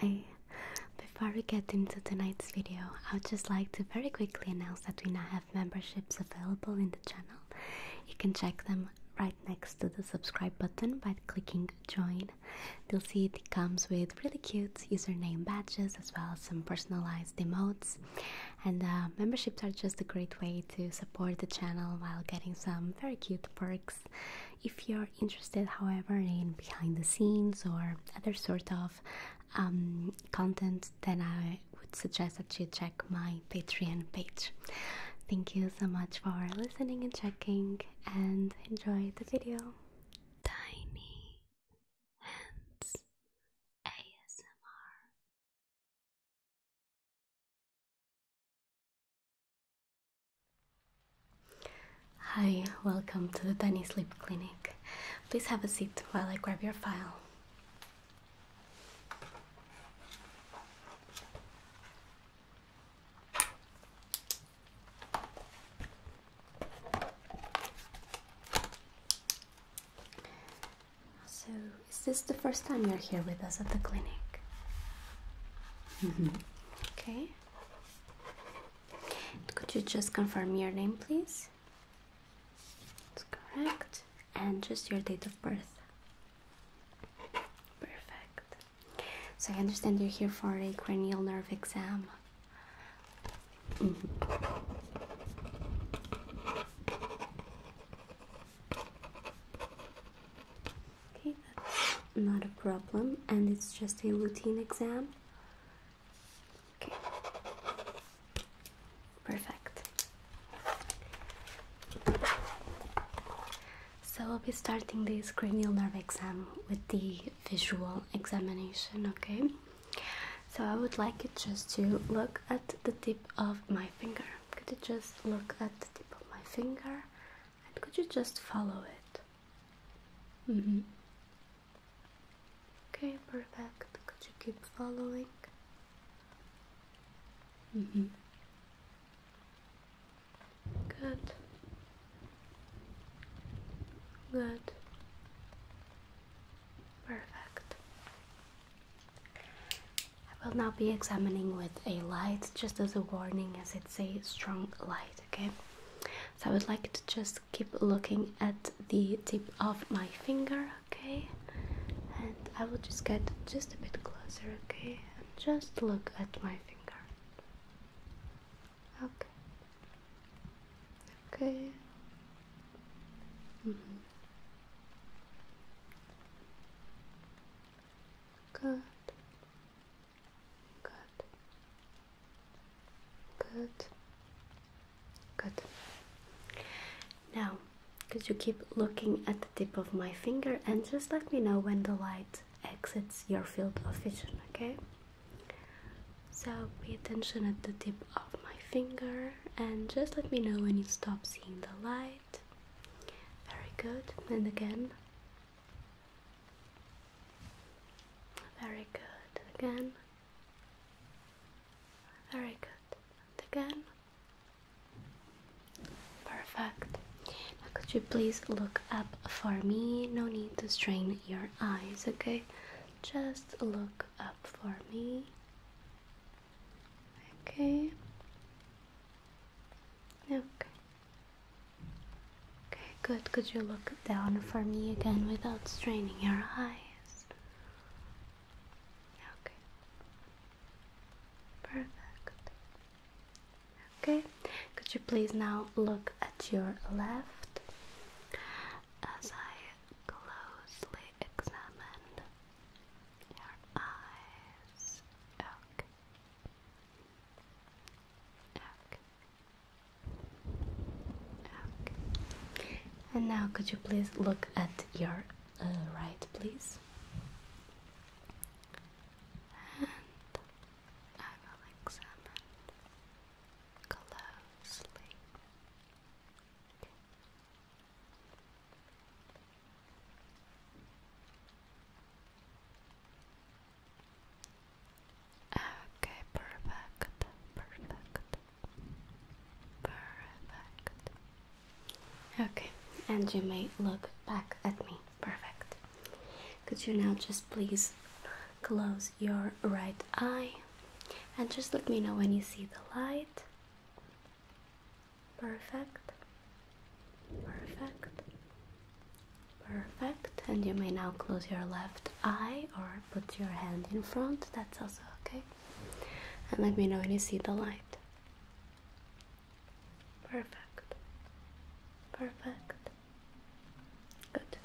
Hi. Before we get into tonight's video, I would just like to very quickly announce that we now have memberships available in the channel. You can check them right next to the subscribe button by clicking join. You'll see it comes with really cute username badges as well as some personalized demotes. And uh, memberships are just a great way to support the channel while getting some very cute perks. If you're interested, however, in behind the scenes or other sort of um, content, then I would suggest that you check my Patreon page. Thank you so much for listening and checking, and enjoy the video. Tiny Hands ASMR. Hi, welcome to the tiny Sleep Clinic. Please have a seat while I grab your file. So, is this the first time you're here with us at the clinic? Mm-hmm. Okay. Could you just confirm your name, please? That's correct. And just your date of birth. Perfect. So I understand you're here for a cranial nerve exam. Okay, that's not a problem, and it's just a routine exam. Okay, perfect. So I'll be starting this cranial nerve exam with the visual examination, okay? So I would like you just to look at the tip of my finger. Could you just look at the tip of my finger and could you just follow it? Mm-hmm. Okay, perfect. Could you keep following? Mm-hmm. Good. Good. Perfect. I will now be examining with a light, just as a warning, as it's a strong light, okay? So I would like to just keep looking at the tip of my finger, okay? And I will just get just a bit closer, okay? And just look at my finger. Okay. Okay. Mm-hmm. Good. Good. Good. Good. Now, could you keep looking at the tip of my finger and just let me know when the light exits your field of vision, okay? So pay attention at the tip of my finger and just let me know when you stop seeing the light. Very good. And again, very good. Again. Very good. again. Perfect. could you please look up for me? No need to strain your eyes, okay? Just look up for me. Okay. Okay. Okay, good. Could you look down for me again without straining your eyes? Okay. Perfect. Okay. Could you please now look at your left as I closely examined your eyes? Okay. And now could you please look at your uh, right, please? And I will examine closely. Okay, perfect, perfect, perfect. Okay, and you may look back at me. Perfect. Could you now just please close your right eye and just let me know when you see the light? Perfect, perfect. Perfect. And you may now close your left eye or put your hand in front. That's also okay. And let me know when you see the light. Perfect. Perfect. Good.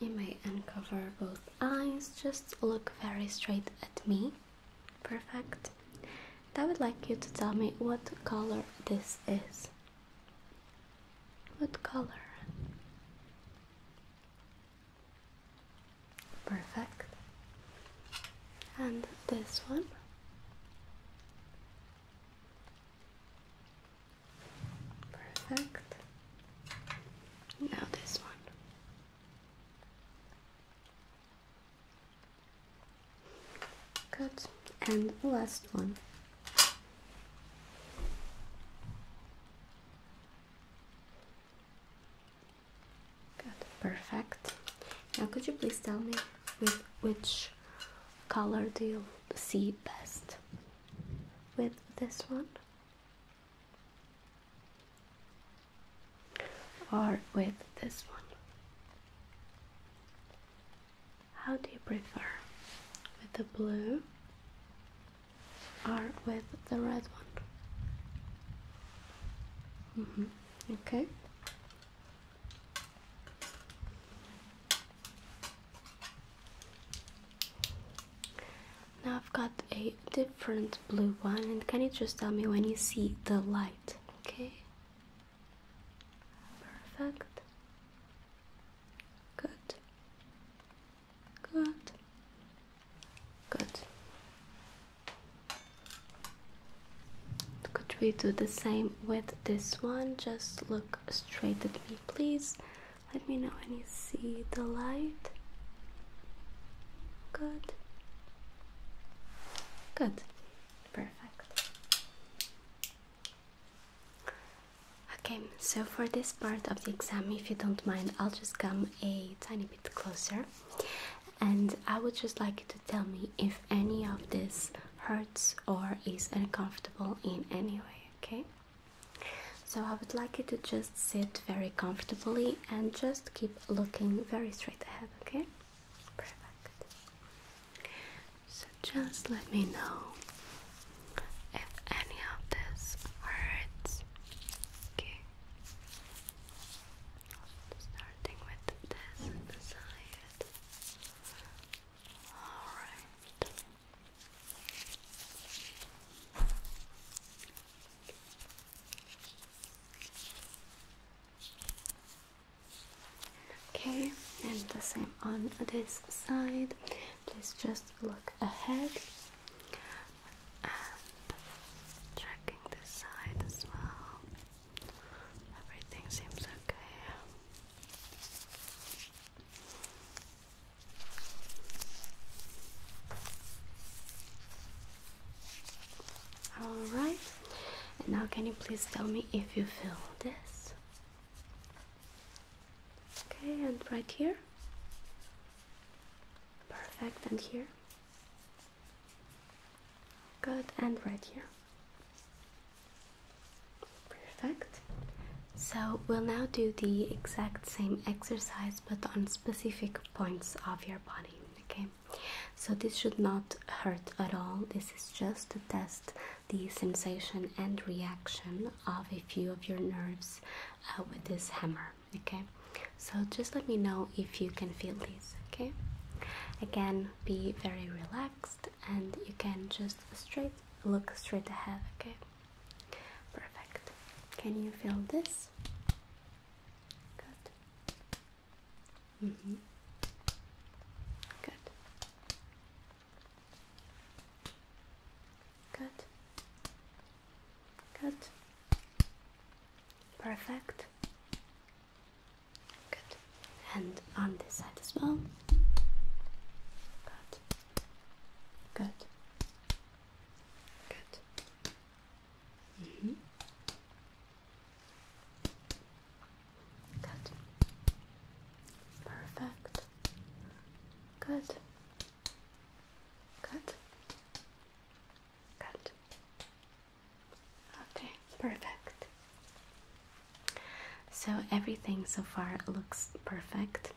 You may uncover both eyes. Just look very straight at me. Perfect. I would like you to tell me what color this is. What color? Perfect. And this one? Perfect. Now this one. Good and the last one good perfect now could you please tell me with which color do you see best with this one or with this one how do you prefer? With the blue or with the red one? Mm -hmm. Okay. Now I've got a different blue one, and can you just tell me when you see the light? Okay. Perfect. Good. Good. Good. Could we do the same with this one? Just look straight at me, please. Let me know when you see the light. Good. Good. Perfect. Okay, so for this part of the exam, if you don't mind, I'll just come a tiny bit closer and I would just like you to tell me if any of this hurts or is uncomfortable in any way, okay? So I would like you to just sit very comfortably and just keep looking very straight ahead, okay? Perfect. So just let me know if any of this hurts. Okay. Starting with this side. Alright. Okay, and the same on this side. Please just look ahead. And checking this side as well. Everything seems okay. Alright, and now can you please tell me if you feel this? Okay, and right here. Perfect, and here. Good, and right here. Perfect. So we'll now do the exact same exercise but on specific points of your body. Okay, so this should not hurt at all. This is just a test the sensation and reaction of a few of your nerves uh, with this hammer. Okay, so just let me know if you can feel this. Okay, again, be very relaxed and you can just straight look straight ahead. Okay, perfect. Can you feel this? Good. Mm-hmm. Good. Good. Good. Perfect. Good. And on this side as well. Good. Good. Good. Mm -hmm. Good. Perfect. Good. Good. Good. Okay, perfect. So everything so far looks perfect.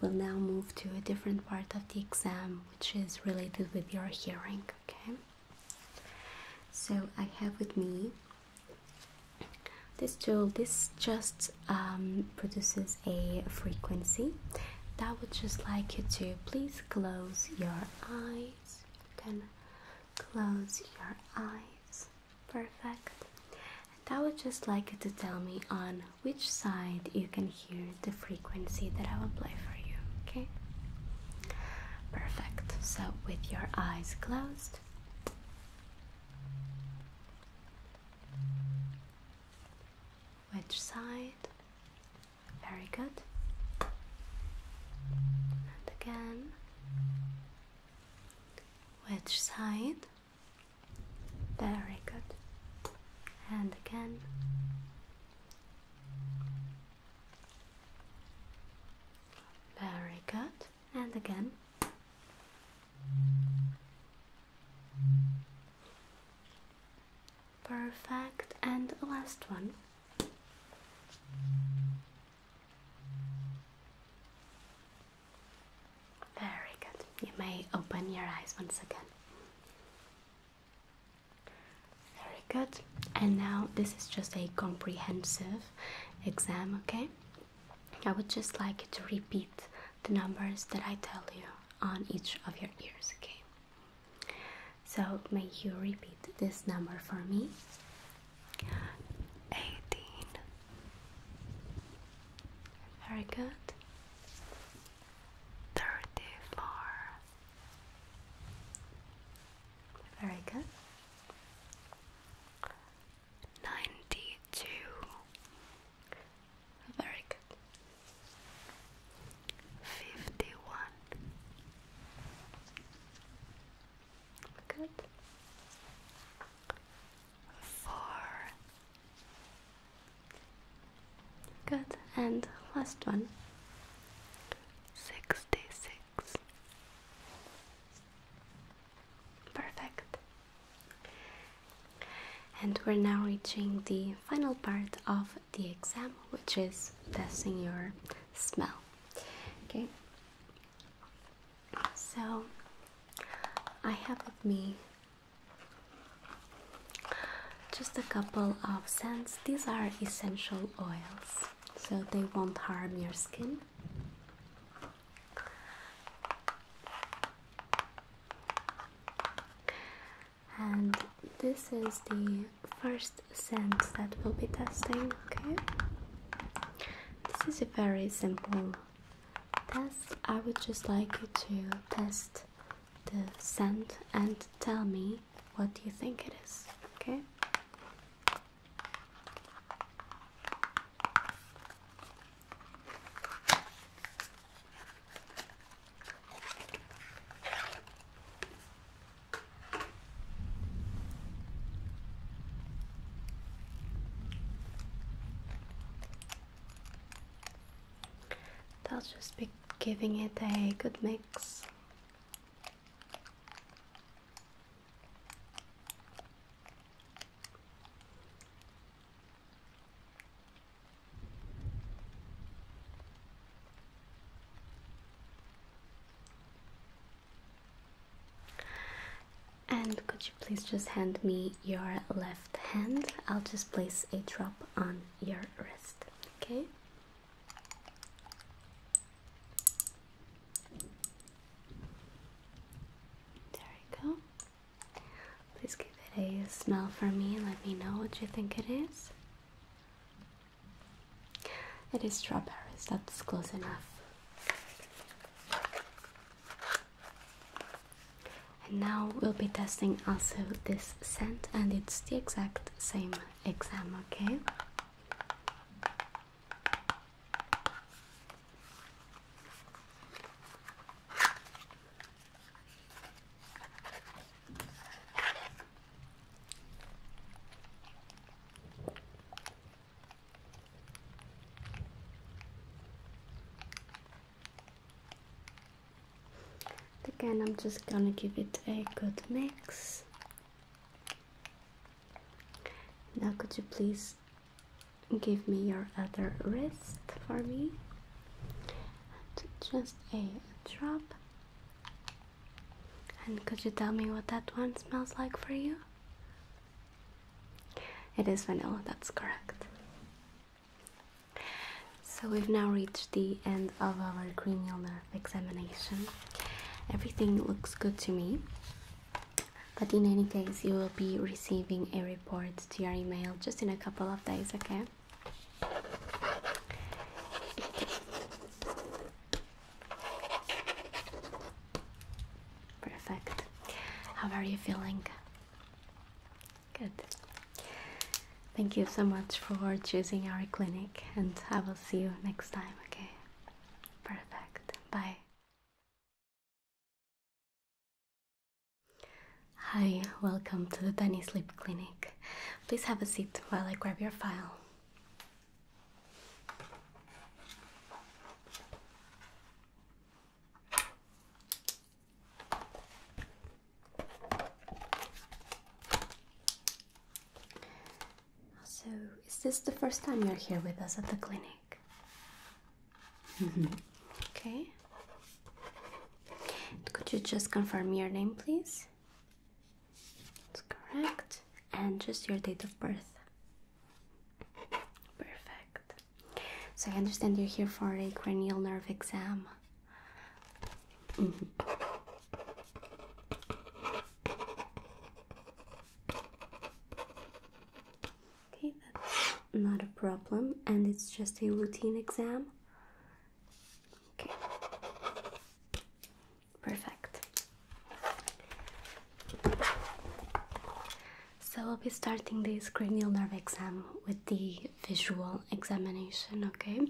We'll now move to a different part of the exam which is related with your hearing, okay? So I have with me this tool this just um, produces a frequency that would just like you to please close your eyes you can close your eyes perfect and i would just like you to tell me on which side you can hear the frequency that i will play for you okay perfect so with your eyes closed which side? Very good. And again. Which side? Very good. And again. Very good and again. Perfect, and the last one. Very good. You may open your eyes once again. Very good. And now this is just a comprehensive exam, okay? I would just like to repeat the numbers that I tell you on each of your ears, okay? So, may you repeat this number for me 18. Very good. 34. Very good. 92. Very good. 51. Good. 4. Good. And last one. 66. Perfect. And we're now reaching the final part of the exam, which is testing your smell. Okay, so I have with me just a couple of scents. These are essential oils, so they won't harm your skin. And this is the first scent that we'll be testing, okay? This is a very simple test. I would just like you to test the scent and tell me what you think it is, okay? i will just be giving it a good mix. And could you please just hand me your left hand? I'll just place a drop on your wrist, okay? There we go. Please give it a smell for me and let me know what you think it is. It is strawberries, that's close enough. And now we'll be testing also this scent, and it's the exact same exam, okay? Again, I'm just gonna give it a good mix. Now, could you please give me your other wrist for me just a drop and could you tell me what that one smells like for you it is vanilla that's correct so we've now reached the end of our cranial nerve examination everything looks good to me but in any case, you will be receiving a report to your email just in a couple of days, okay? Perfect. How are you feeling? Good. Thank you so much for choosing our clinic, and I will see you next time, okay? Perfect. Bye. Hi, welcome to the Benny Sleep Clinic. Please have a seat while I grab your file. So, is this the first time you're here with us at the clinic? okay. Could you just confirm your name, please? That's correct. And just your date of birth. Perfect. So I understand you're here for a cranial nerve exam. Okay, that's not a problem, and it's just a routine exam. Okay, perfect. So, we will be starting this cranial nerve exam with the visual examination, okay?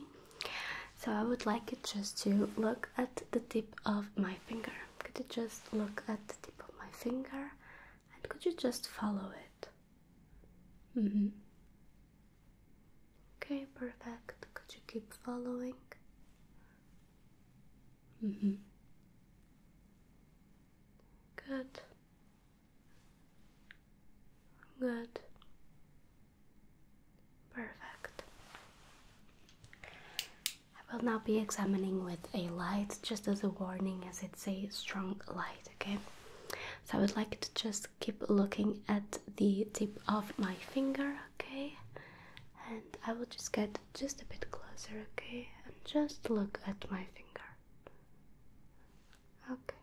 So, I would like you just to look at the tip of my finger. Could you just look at the tip of my finger? and could you just follow it? Mm-hmm. Okay, perfect. Could you keep following? Mm-hmm. Good. Good. Perfect. I will now be examining with a light, just as a warning, as it's a strong light, okay? So I would like to just keep looking at the tip of my finger, okay? And I will just get just a bit closer, okay? And just look at my finger. Okay.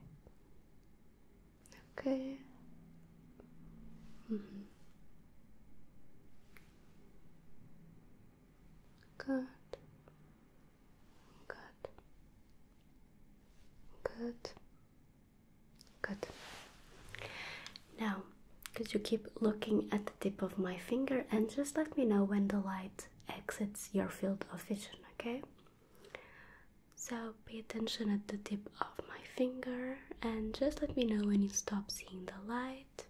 Okay. Mm-hmm. Good. Good. Good. Good. Now, could you keep looking at the tip of my finger and just let me know when the light exits your field of vision, okay? So, pay attention at the tip of my finger and just let me know when you stop seeing the light.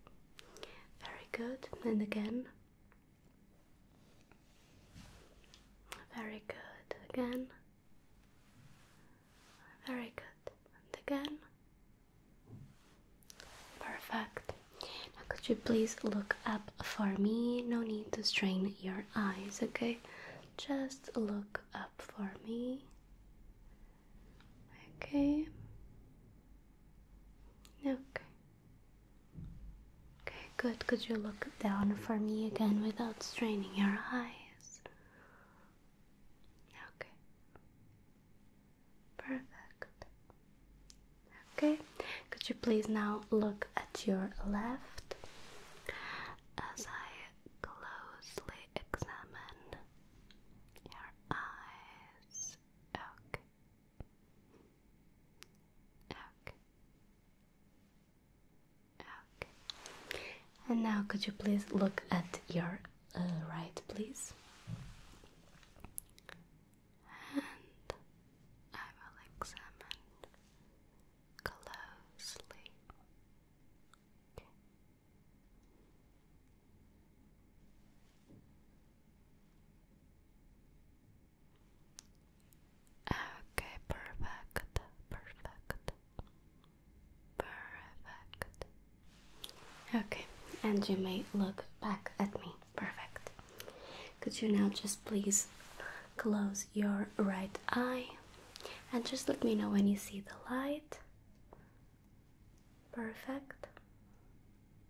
Very good. And again, very good. Again. Very good. And again. Perfect. Now, could you please look up for me? No need to strain your eyes, okay? Just look up for me. Okay. Okay. Okay, good. Could you look down for me again without straining your eyes? Okay. Perfect. Okay, could you please now look at your left as I closely examine your eyes? Okay, Okay. Okay. And now could you please look at your uh, right, please? And I will examine closely. Okay, perfect, perfect, perfect. Okay, and you may look back at me. Perfect. Could you now just please close your right eye and just let me know when you see the light? Perfect.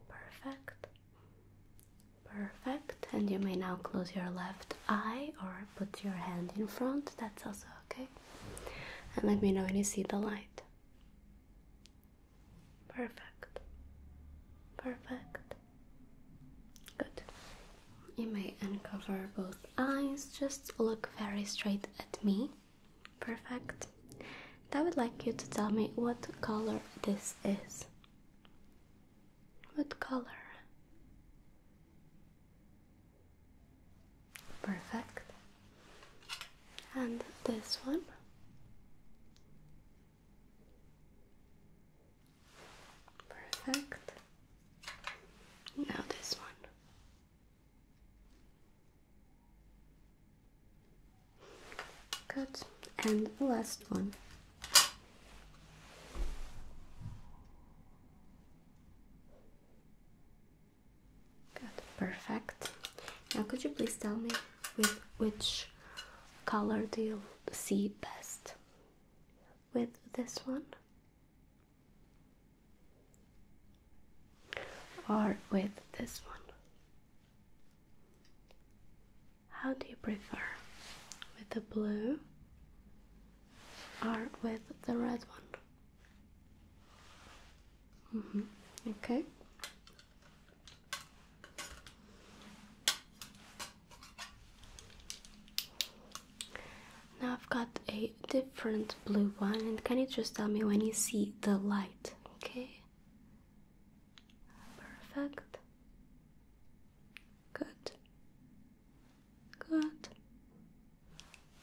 Perfect. Perfect. And you may now close your left eye or put your hand in front. That's also okay. And let me know when you see the light. Perfect. Perfect. Good. You may uncover both eyes. Just look very straight at me. Perfect. I would like you to tell me what color this is. What color? Perfect. And this one? Perfect. Now this one. Cut And last one. Cut Perfect. Now could you please tell me with which color do you see best? With this one? Or with this one? How do you prefer? With the blue or with the red one? Mm -hmm. Okay. Now I've got a different blue one, and can you just tell me when you see the light? Okay, Perfect. Good. Good.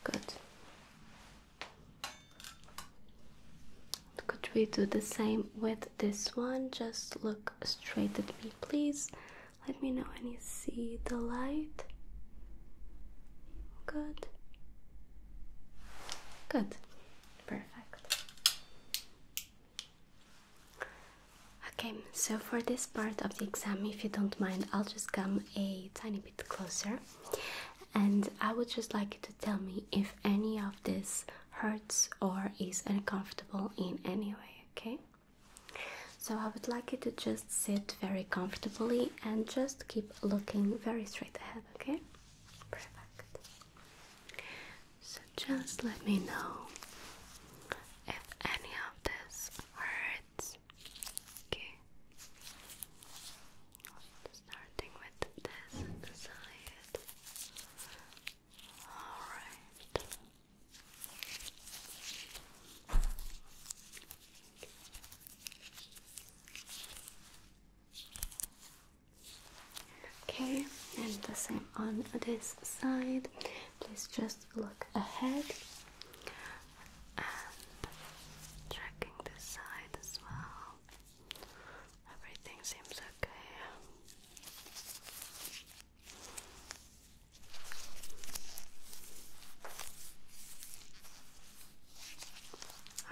Good. Could we do the same with this one? Just look straight at me, please. Let me know when you see the light. Good. Good. Perfect. Okay, so for this part of the exam, if you don't mind, I'll just come a tiny bit closer and I would just like you to tell me if any of this hurts or is uncomfortable in any way, okay? So I would like you to just sit very comfortably and just keep looking very straight ahead, okay? Perfect. So just let me know if any of this hurts. Okay. Starting with this side. Alright. Okay, and the same on this side. Please just look ahead and checking this side as well. Everything seems okay.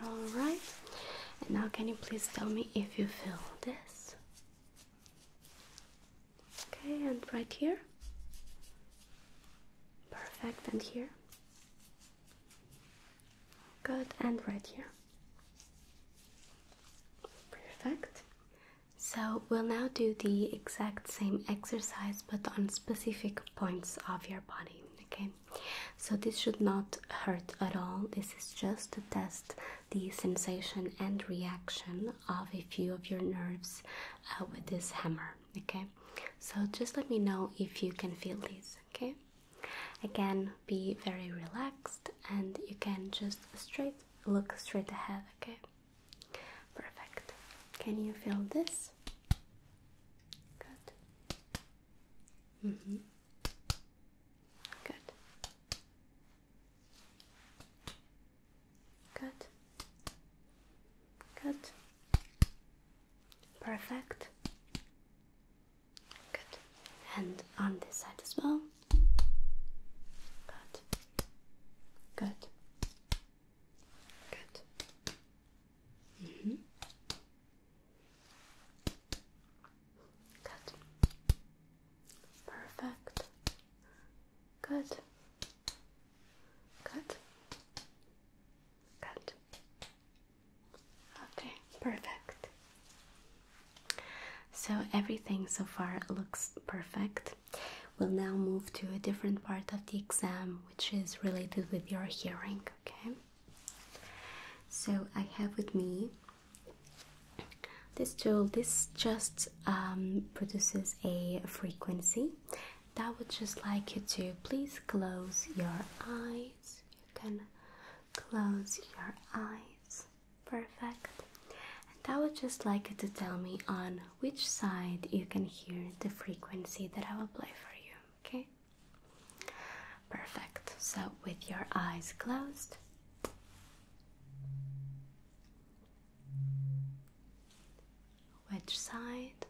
All right, and now, can you please tell me if you feel this? Okay, and right here. Perfect, and here. Good, and right here. Perfect. So, we'll now do the exact same exercise but on specific points of your body. Okay, so this should not hurt at all this is just to test the sensation and reaction of a few of your nerves uh, with this hammer okay so just let me know if you can feel this okay again be very relaxed and you can just straight look straight ahead okay perfect can you feel this Mm -hmm. Good. Good. Good. Perfect. Good. And on this side as well. Good. Good. Good. Mm -hmm. Good. Perfect. Good. Good. Good. Okay, perfect. So everything so far looks perfect. We'll now move to a different part of the exam which is related with your hearing, okay? So I have with me this tool. This just um, produces a frequency that would just like you to please close your eyes. You can close your eyes. Perfect. And I would just like you to tell me on which side you can hear the frequency that I will play for you. Okay. Perfect. So, with your eyes closed, which side?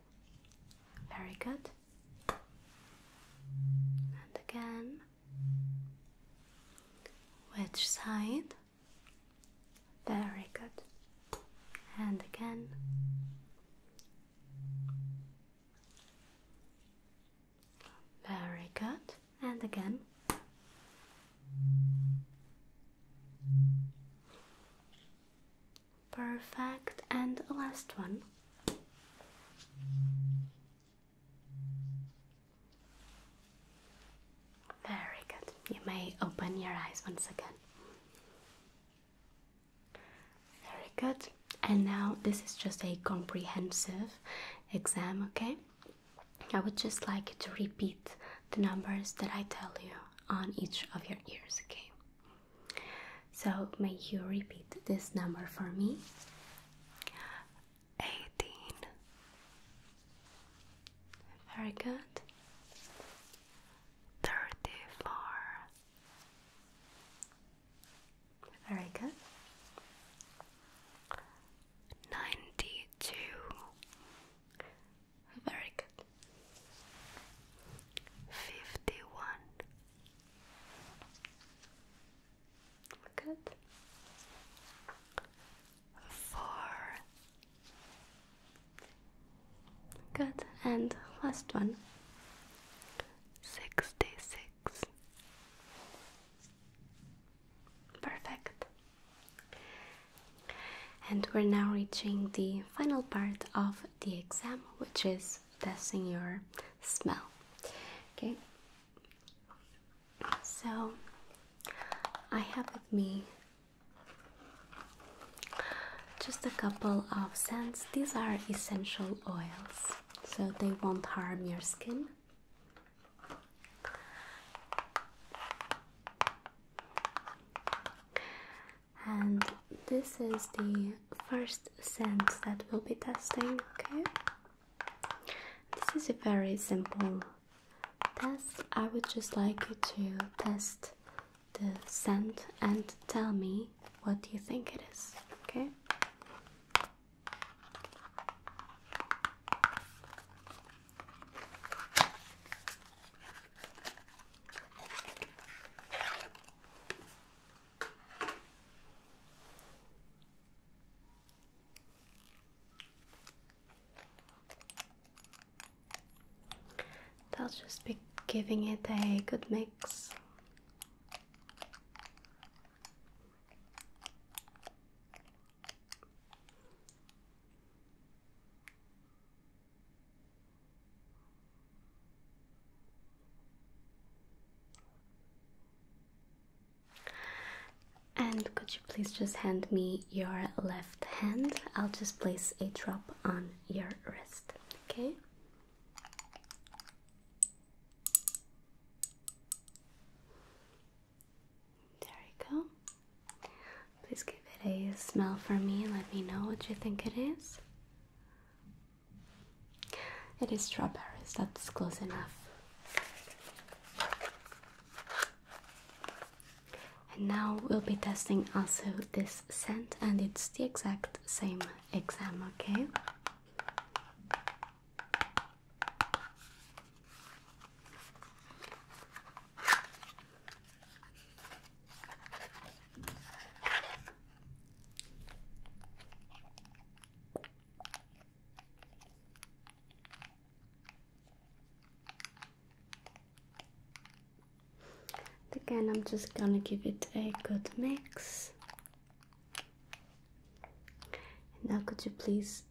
Very good. And again, which side? Very good. And again. Very good. And again. Perfect. And last one. Very good. You may open your eyes once again. Very good and now this is just a comprehensive exam okay i would just like to repeat the numbers that i tell you on each of your ears okay so may you repeat this number for me 18 very good 34 very good. Ninety two. Very good. Fifty one. Good. Four. Good. And last one. Sixty six. Perfect. And we're now reaching the final part of the exam, which is testing your smell. Okay, so I have with me just a couple of scents. These are essential oils, so they won't harm your skin. And this is the first scent that we'll be testing, okay? This is a very simple test. I would just like you to test the scent and tell me what you think it is, okay? That'll just be giving it a good mix. And could you please just hand me your left hand? I'll just place a drop on your wrist, okay? There you go. Please give it a smell for me and let me know what you think it is. It is strawberries, that's close enough. And now we'll be testing also this scent, and it's the exact same exam, okay? Again, I'm just gonna give it a good mix. Now, could you please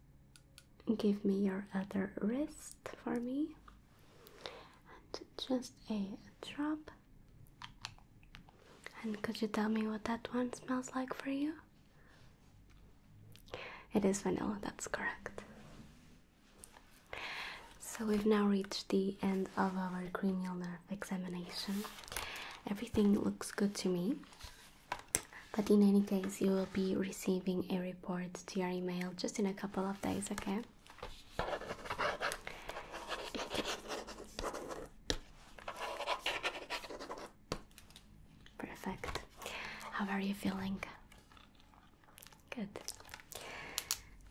give me your other wrist for me? And just a drop. And could you tell me what that one smells like for you? It is vanilla, that's correct. So we've now reached the end of our cranial nerve examination. Everything looks good to me. But in any case, you will be receiving a report to your email just in a couple of days, okay? Perfect. How are you feeling? Good.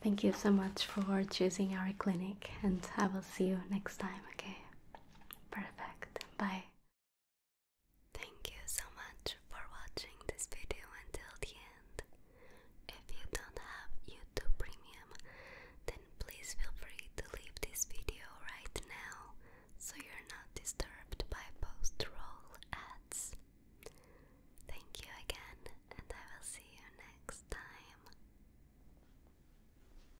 Thank you so much for choosing our clinic, and I will see you next time, okay? Perfect. Bye. Thank you so much for watching this video until the end. If you don't have YouTube Premium, then please feel free to leave this video right now so you're not disturbed by post roll ads. Thank you again, and I will see you next time.